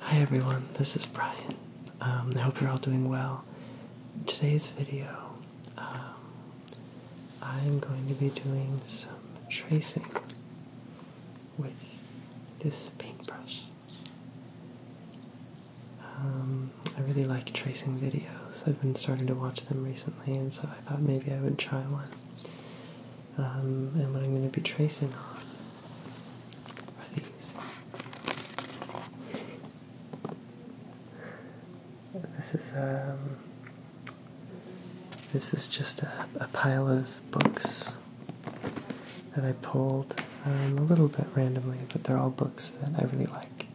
Hi everyone, this is Brian. Um, I hope you're all doing well. Today's video, um, I'm going to be doing some tracing with this paintbrush. Um, I really like tracing videos. I've been starting to watch them recently, and so I thought maybe I would try one. and what I'm going to be tracing on this is um this is just a, a pile of books that I pulled um, a little bit randomly, but they're all books that I really like.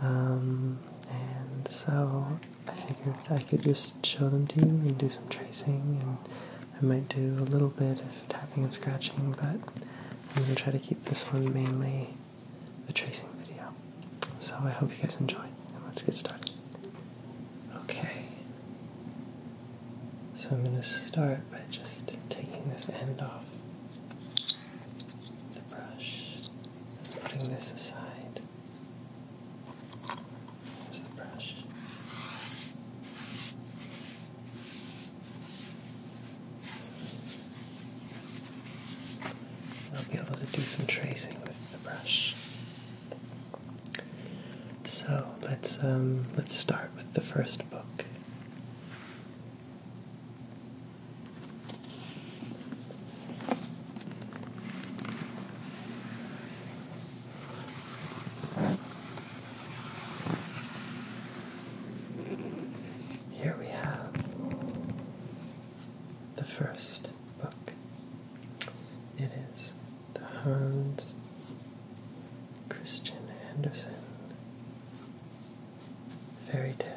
Um, and so I figured I could just show them to you and do some tracing and I might do a little bit of tapping and scratching, but I'm going to try to keep this one mainly the tracing video. So I hope you guys enjoy, let's get started. Okay, so I'm going to start by just taking this end off the brush, putting this aside. There's the brush. I'll be able to do some tracing with the brush. So let's um, let's start with the first book. Here we have the first book. It is the Hans Christian Andersen Fairy Tales.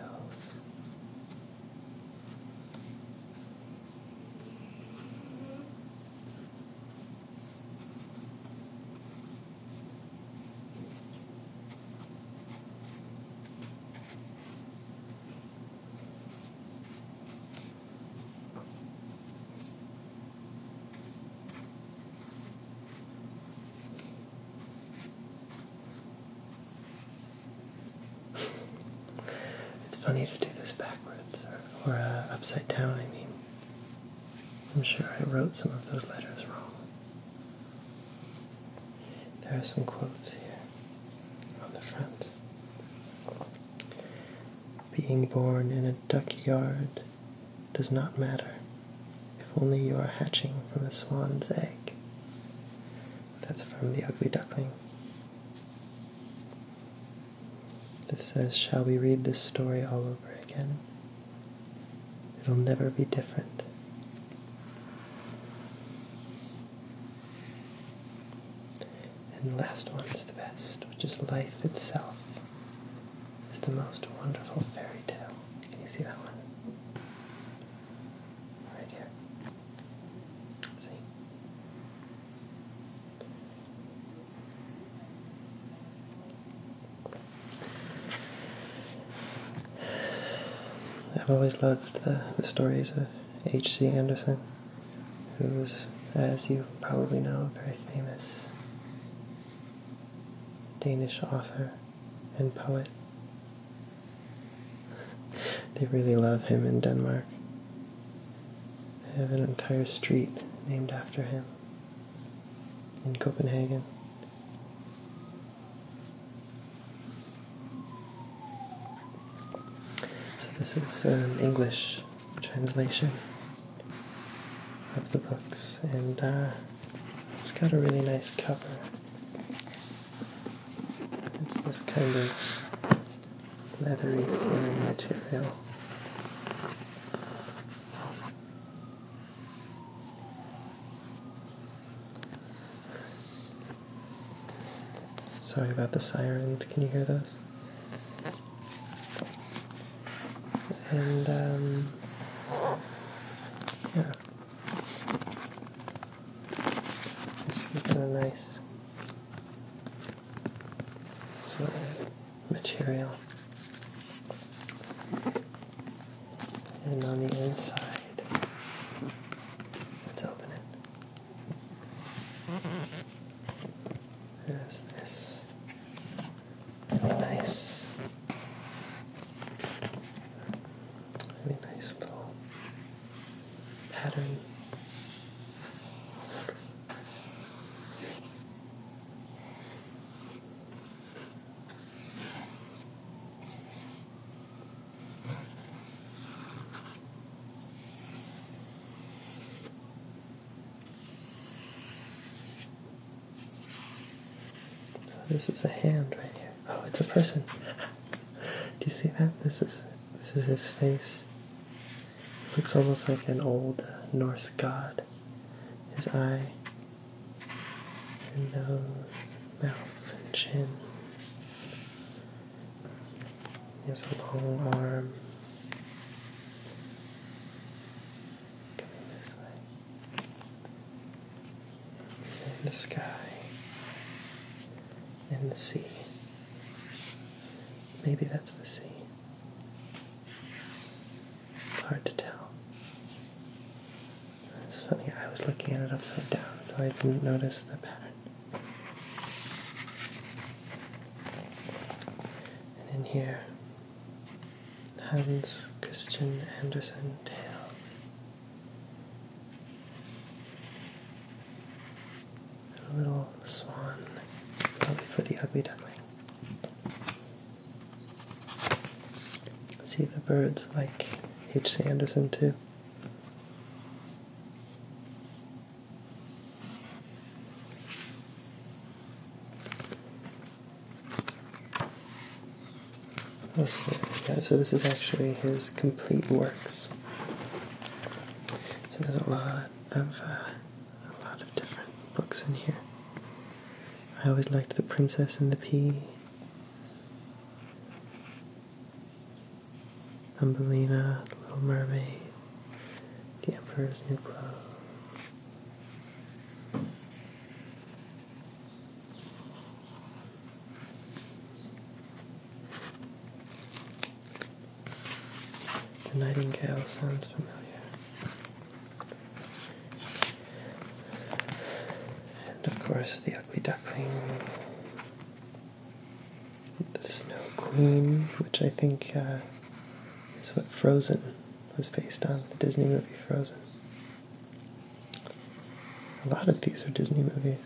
It's funny to do this backwards or, uh, upside down, I mean. I'm sure I wrote some of those letters wrong. There are some quotes here on the front. Being born in a duck yard does not matter if only you are hatching from a swan's egg. That's from The Ugly Duckling. This says, Shall we read this story all over again? It'll never be different. And the last one is the best, which is life itself. It's the most wonderful fairy tale. Can you see that one? Right here. See? I've always loved the, stories of H.C. Anderson, who was, as you probably know, a very famous Danish author and poet. They really love him in Denmark. They have an entire street named after him in Copenhagen. So, this is an um, English translation of the books, and uh, it's got a really nice cover. It's this kind of leathery material. Sorry about the sirens, can you hear those? And, um, yeah. This kind of nice. So, material. And on the inside, let's open it. There's this really nice, really nice little pattern. This is a hand right here. Oh, it's a person. Do you see that? This is this is his face. looks almost like an old Norse god. His eye and nose, mouth, and chin. He has a long arm coming this way. And the sky and the sea. Maybe that's the sea. Hard to tell. It's funny, I was looking at it upside down, so I didn't notice the pattern. And in here, Hans Christian Andersen Tales. a little swan, for the ugly duckling. See the birds like H.C. Anderson too. Yeah, so this is actually his complete works. So there's a lot of uh, a lot of different books in here. I always liked The Princess and the Pea. Thumbelina, The Little Mermaid, The Emperor's New Clothes. The Nightingale sounds familiar. And of course, the ugly duckling. The Snow Queen, which I think uh, is what Frozen was based on, the Disney movie Frozen. A lot of these are Disney movies.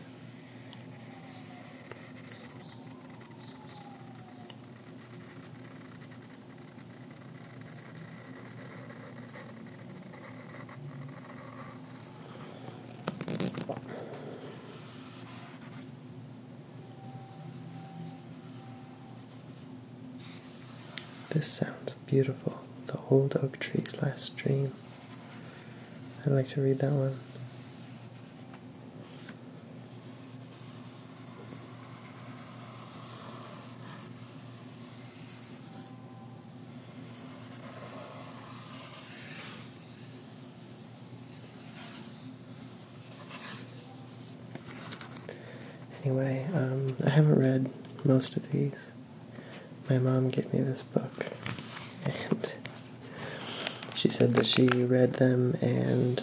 This sounds beautiful. The old oak tree's last dream. I'd like to read that one. Anyway, um, I haven't read most of these. My mom gave me this book, and she said that she read them and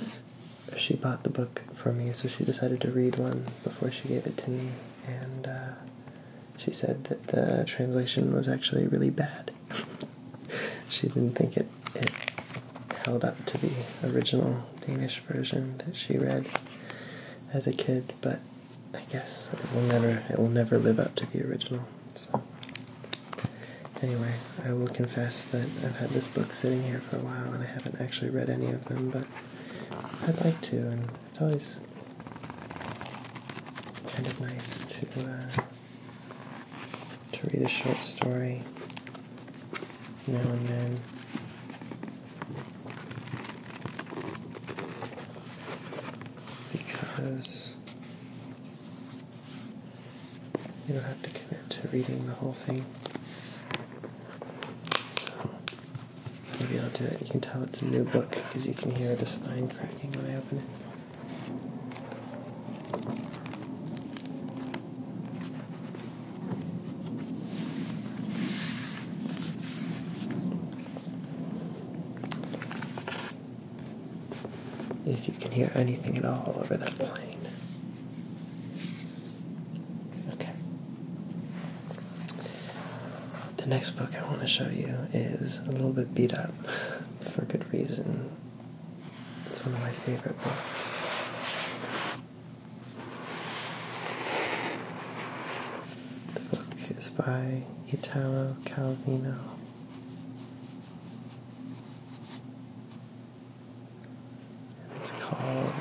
she bought the book for me, so she decided to read one before she gave it to me and uh, she said that the translation was actually really bad. she didn't think it, it held up to the original Danish version that she read as a kid, but I guess it will never it will never live up to the original. So anyway, I will confess that I've had this book sitting here for a while and I haven't actually read any of them, but I'd like to it's always kind of nice to uh, to read a short story now and then. Because you don't have to commit to reading the whole thing. Maybe I'll do it. You can tell it's a new book because you can hear the spine cracking when I open it. If you can hear anything at all over that plane. Okay. The next book I want to show you is a little bit beat up for good reason. It's one of my favorite books. The book is by Italo Calvino. It's called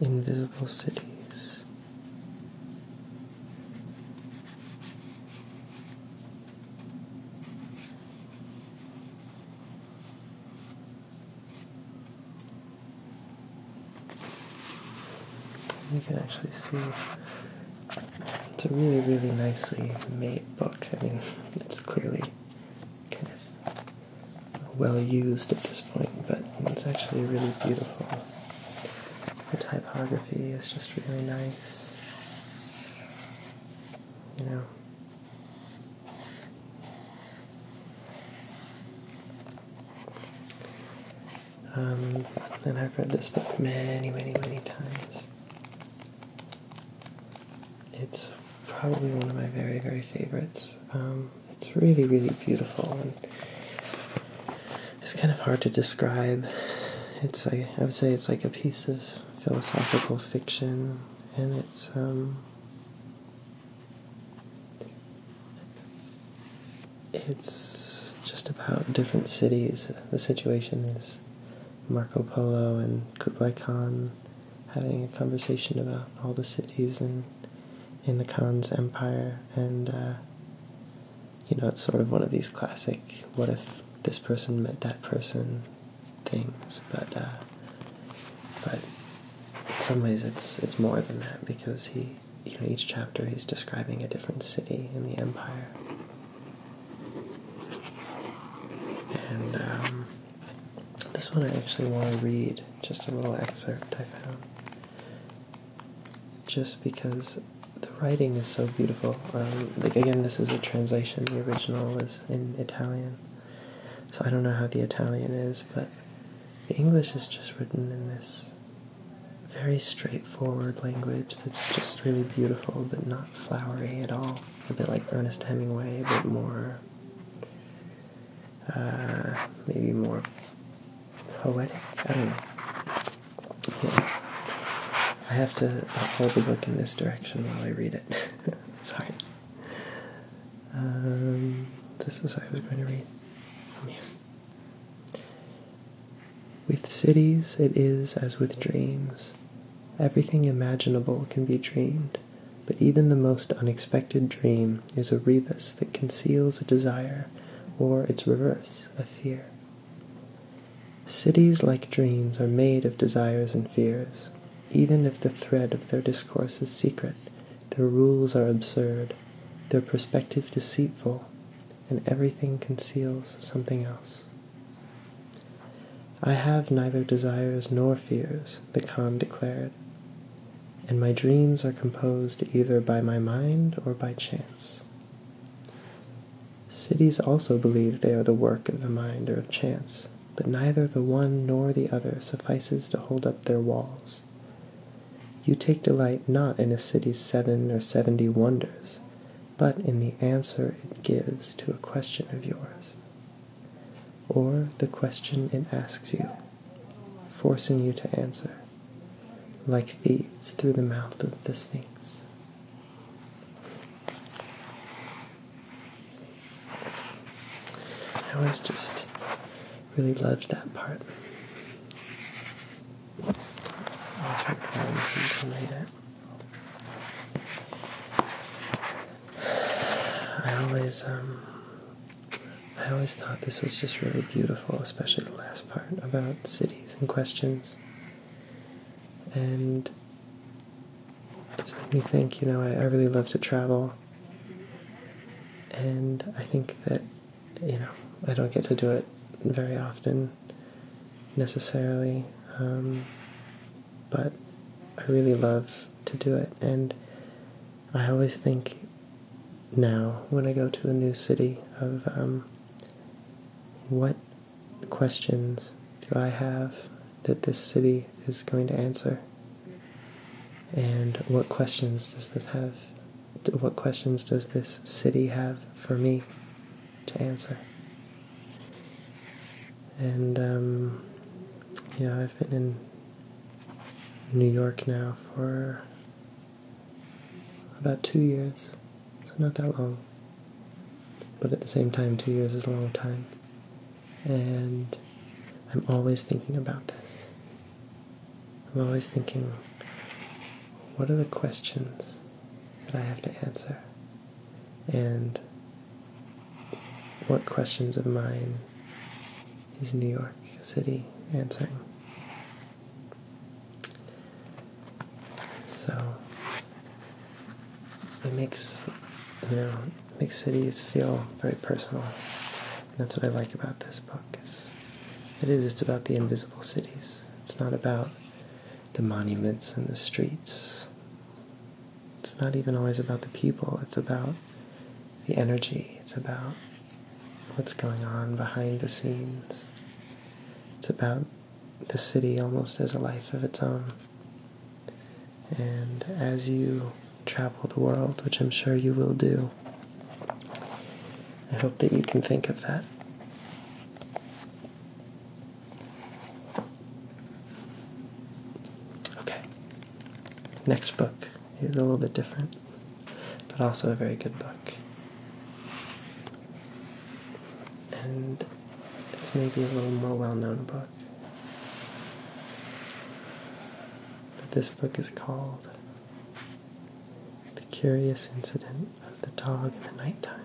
Invisible Cities. You can actually see it's a really, really nicely made book. I mean, it's clearly kind of well used at this point, but it's actually really beautiful. The typography is just really nice. You know. Um, and I've read this book many, many, many times. It's probably one of my very, very favorites. Um, it's really, really beautiful, and it's kind of hard to describe. It's I would say it's like a piece of philosophical fiction, and it's um, it's just about different cities. The situation is Marco Polo and Kublai Khan having a conversation about all the cities in in the Khan's empire, and uh, you know, it's sort of one of these classic "what if this person met that person" things, but uh, but in some ways it's it's more than that because he you know each chapter he's describing a different city in the empire and um, this one I actually want to read, just a little excerpt I found. Just because the writing is so beautiful. Um, like, again, this is a translation, the original was in Italian. So I don't know how the Italian is, but the English is just written in this very straightforward language that's just really beautiful but not flowery at all. A bit like Ernest Hemingway, a bit more uh, maybe more poetic. I don't know. Yeah. I have to hold the book in this direction while I read it. Sorry. Um, this is I was going to read. Oh, with cities, it is as with dreams. Everything imaginable can be dreamed but even the most unexpected dream is a rebus that conceals a desire or its reverse, a fear. Cities like dreams are made of desires and fears. Even if the thread of their discourse is secret, their rules are absurd, their perspective deceitful, and everything conceals something else. I have neither desires nor fears, the Khan declared, and my dreams are composed either by my mind or by chance. Cities also believe they are the work of the mind or of chance, but neither the one nor the other suffices to hold up their walls. You take delight not in a city's seven or seventy wonders, but in the answer it gives to a question of yours or the question it asks you, forcing you to answer, like thieves through the mouth of the Sphinx. I was just really loved that part. I always um, I always thought this was just really beautiful, especially the last part about cities and questions. And it made me think, you know, I, I really love to travel. And I think that, you know, I don't get to do it very often necessarily. Um, but I really love to do it. And I always think now when I go to a new city of um, what questions do I have that this city is going to answer, and what questions does this have? What questions does this city have for me to answer? And um, yeah, I've been in New York now for about two years, so not that long. But at the same time, two years is a long time. And I'm always thinking about this. I'm always thinking, what are the questions that I have to answer? And what questions of mine is New York City answering. So it makes you know it makes cities feel very personal. And that's what I like about this book is it is it's about the invisible cities. It's not about the monuments and the streets. It's not even always about the people. It's about the energy, it's about what's going on behind the scenes. It's about the city almost as a life of its own. And as you travel the world, which I'm sure you will do, I hope that you can think of that. Okay, next book is a little bit different, but also a very good book. And it's maybe a little more well known book. But this book is called The Curious Incident of the Dog in the Nighttime.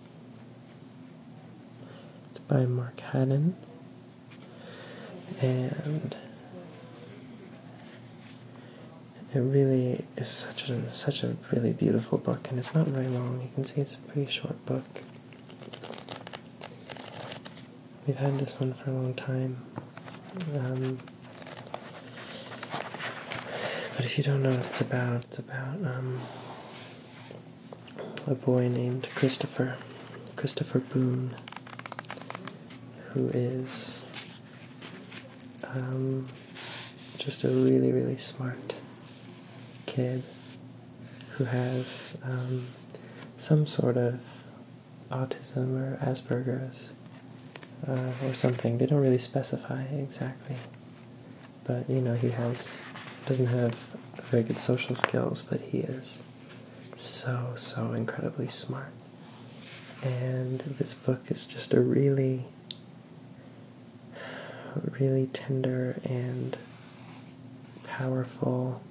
It's by Mark Haddon. And it really is such a such a really beautiful book, and it's not very long. You can see it's a pretty short book. We've had this one for a long time, um, but if you don't know what it's about, it's about um, a boy named Christopher, Christopher Boone, who is um, just a really, really smart kid who has um, some sort of autism or Asperger's uh, or something. They don't really specify exactly but you know he has doesn't have very good social skills, but he is so so incredibly smart. And this book is just a really really tender and powerful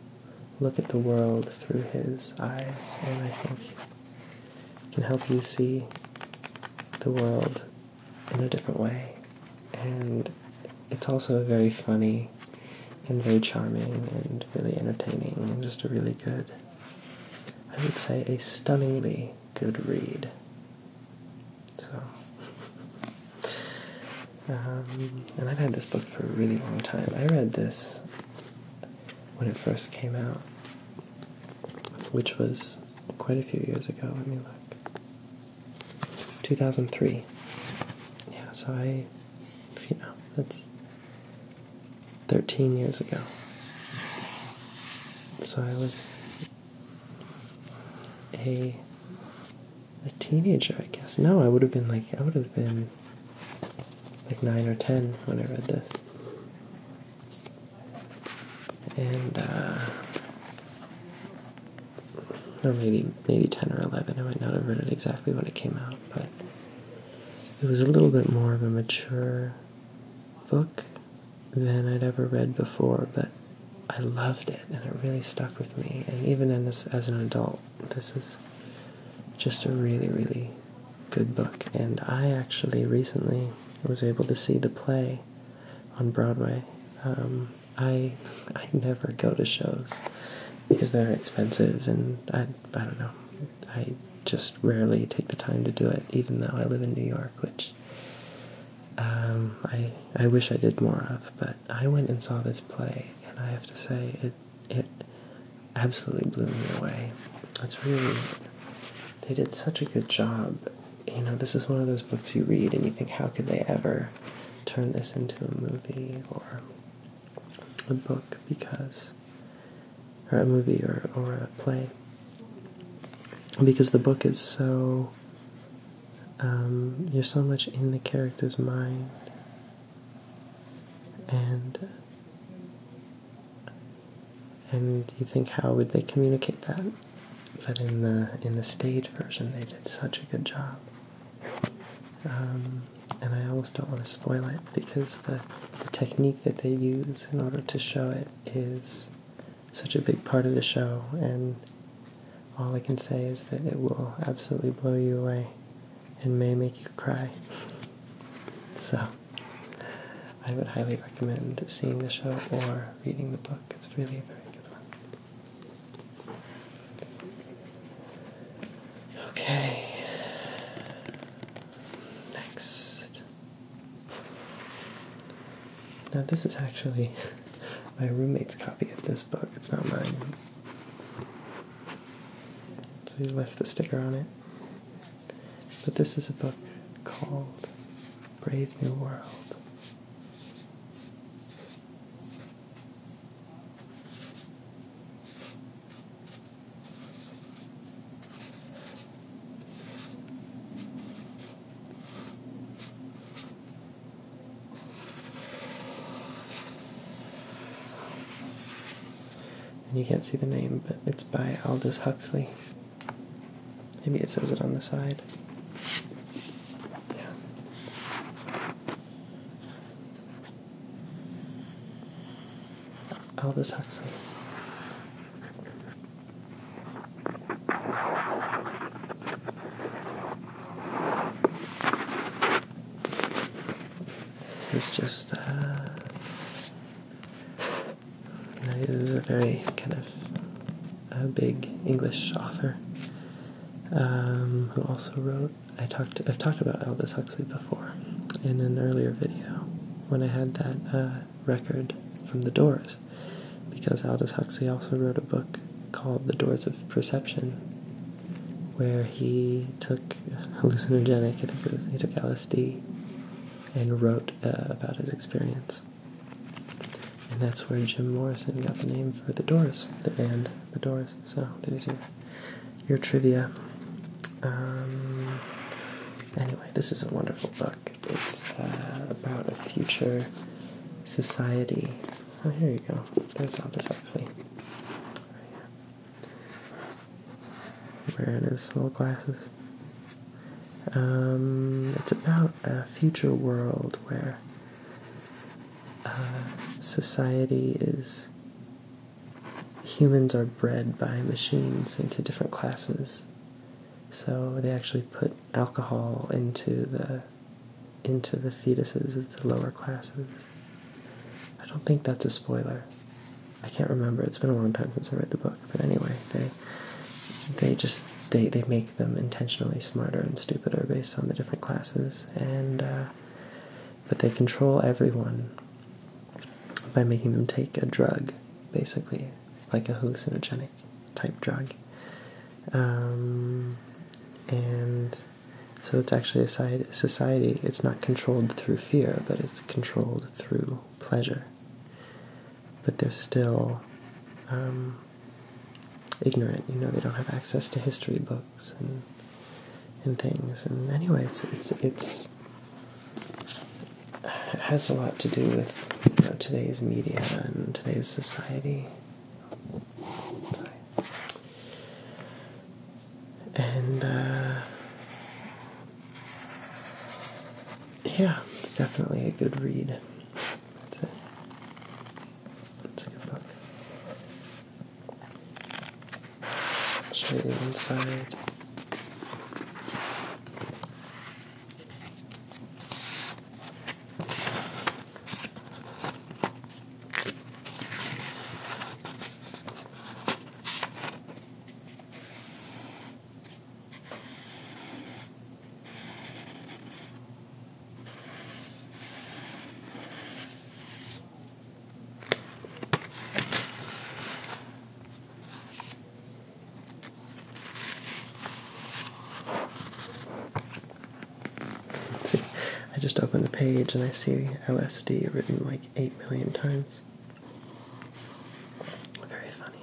look at the world through his eyes and I think can help you see the world in a different way. And it's also very funny and very charming and really entertaining and just a really good, I would say, a stunningly good read. So, um, and I've had this book for a really long time. I read this when it first came out, which was quite a few years ago. Let me look. 2003. Yeah, so I, you know, that's 13 years ago. So I was a a teenager, I guess. No, I would have been like I would have been like nine or ten when I read this. And uh or maybe maybe 10 or 11. I might not have read it exactly when it came out, but it was a little bit more of a mature book than I'd ever read before, but I loved it and it really stuck with me. And even in this, as an adult, this is just a really, really good book. And I actually recently was able to see the play on Broadway. Um, I I never go to shows because they're expensive and I I don't know. I just rarely take the time to do it even though I live in New York, which um I I wish I did more of, but I went and saw this play and I have to say it it absolutely blew me away. It's really they did such a good job. You know, this is one of those books you read and you think how could they ever turn this into a movie or a book because, or a movie or, or a play, because the book is so, um, you're so much in the character's mind and and you think how would they communicate that but in the in the stage version they did such a good job um, and I almost don't want to spoil it because the, the technique that they use in order to show it is such a big part of the show, and all I can say is that it will absolutely blow you away and may make you cry. So, I would highly recommend seeing the show or reading the book. It's really a very good one. Okay. Next. Now, this is actually my roommate's copy of this book, it's not mine. So he left the sticker on it. But this is a book called Brave New World. And you can't see the name, but it's by Aldous Huxley. Maybe it says it on the side. Yeah. Aldous oh, Huxley. It's just, uh, a very kind of a big English author, um, who also wrote. I talked. I've talked about Aldous Huxley before in an earlier video when I had that uh, record from The Doors, because Aldous Huxley also wrote a book called The Doors of Perception, where he took hallucinogenic. I think he took LSD and wrote uh, about his experience. And that's where Jim Morrison got the name for the Doors, the band the doors. So there's your your trivia. Um, anyway, this is a wonderful book. It's uh, about a future society. Oh, here you go. There's all this actually. Wearing his little glasses. Um, it's about a future world where uh, society is humans are bred by machines into different classes. So they actually put alcohol into the into the fetuses of the lower classes. I don't think that's a spoiler. I can't remember. It's been a long time since I read the book, but anyway, they they just they, they make them intentionally smarter and stupider based on the different classes and uh, but they control everyone by making them take a drug, basically, like a hallucinogenic type drug. Um, and so it's actually a society, it's not controlled through fear, but it's controlled through pleasure. But they're still um, ignorant, you know, they don't have access to history books and things. And anyway, it's it's it's it has a lot to do with today's media and today's society. And uh, yeah, it's definitely a good read. That's it. It's a good book. Show you the inside. See, I just open the page and I see LSD written like 8 million times. Very funny.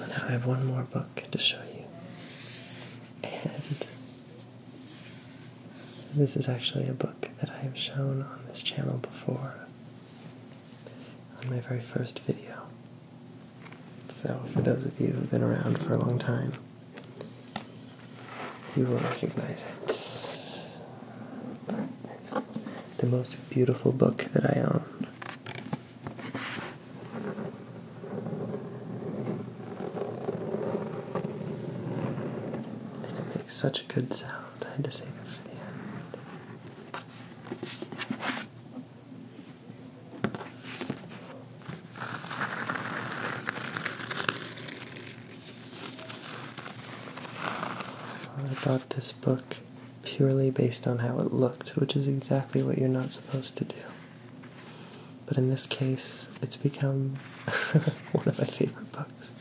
Now I have one more book to show you. And this is actually a book that I have shown on this channel before on my very first video. So, for those of you who've been around for a long time, you will recognize it. But it's the most beautiful book that I own. And it makes such a good sound. I bought this book purely based on how it looked, which is exactly what you're not supposed to do. But in this case, it's become one of my favorite books.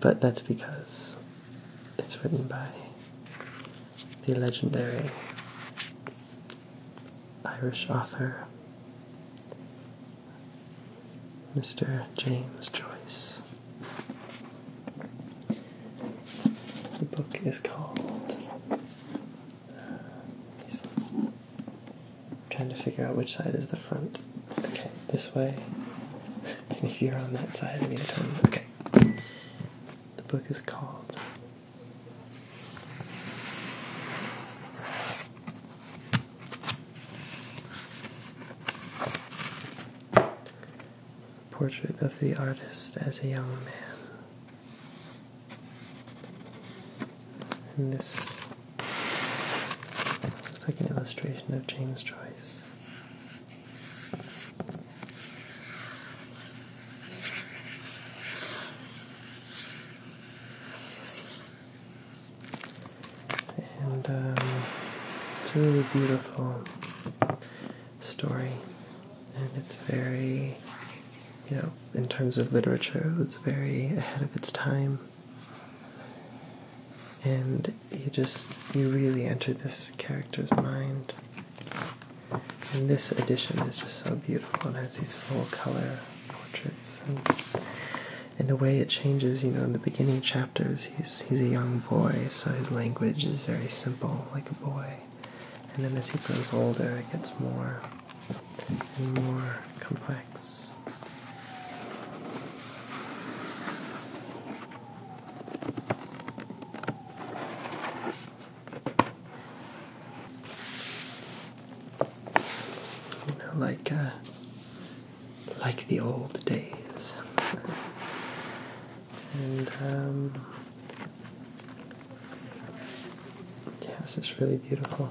But that's because it's written by the legendary Irish author Mr. James Joyce. The book is called. Uh, trying to figure out which side is the front. Okay this way. And if you're on that side, I need to turn. Okay. The book is called Portrait of the Artist as a Young Man. And this looks like an illustration of James Joyce. And um, it's a really beautiful story, and it's very, you know, in terms of literature, it was very ahead of its time and you just you really enter this character's mind. And this edition is just so beautiful It has these full color portraits and and the way it changes, you know, in the beginning chapters he's he's a young boy, so his language is very simple, like a boy. And then as he grows older it gets more and more complex. You know, like uh, like the old days, and um, yes, it's really beautiful.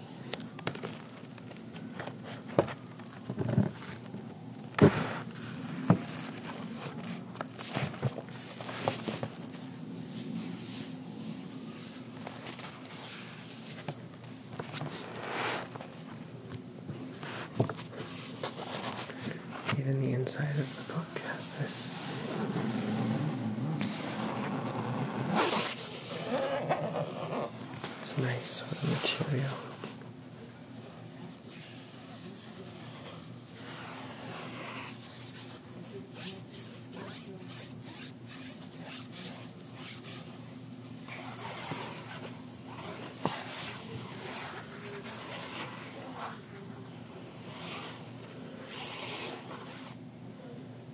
Even the inside of the book has this. It's a nice sort of material.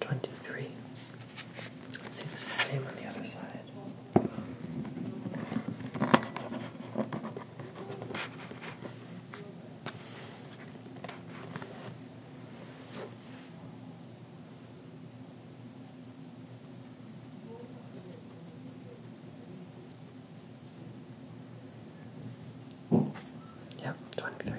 Twenty-three. Let's see if it's the same on the other side. Yep, twenty three.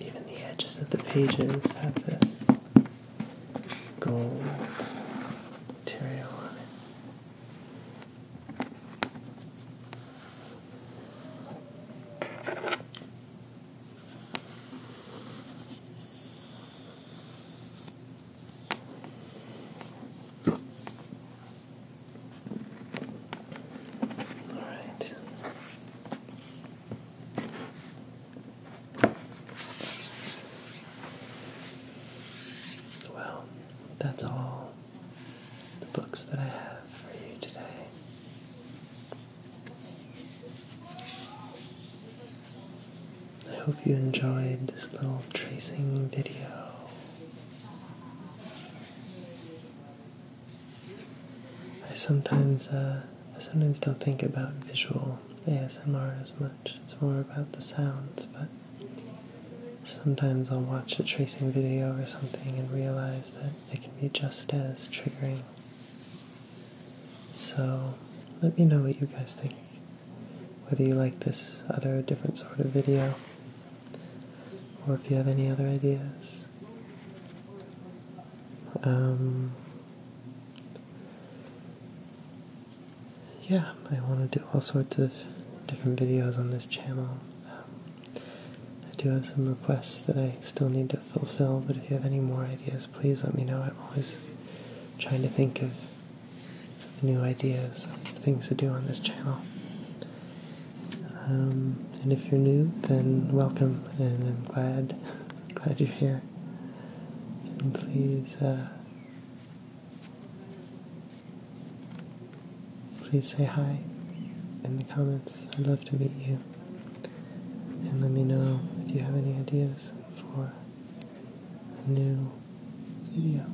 Even the edges of the pages have this gold material on it. All right. Well, that's all the books that I have for you today. I hope you enjoyed this little tracing video. I sometimes uh, sometimes don't think about visual ASMR as much. It's more about the sounds, but sometimes I'll watch a tracing video or something and realize that it can be just as triggering so let me know what you guys think. Whether you like this other different sort of video, or if you have any other ideas. Um, yeah, I want to do all sorts of different videos on this channel. Um, I do have some requests that I still need to fulfill, but if you have any more ideas, please let me know. I'm always trying to think of new ideas, things to do on this channel. Um, and if you're new, then welcome, and I'm glad, glad you're here. And please, uh, please say hi in the comments. I'd love to meet you. And let me know if you have any ideas for a new video.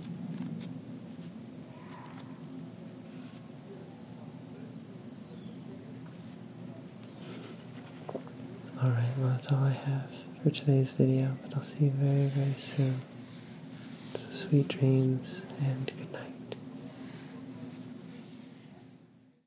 Alright, well, that's all I have for today's video, but I'll see you very, very soon. sweet dreams and good night.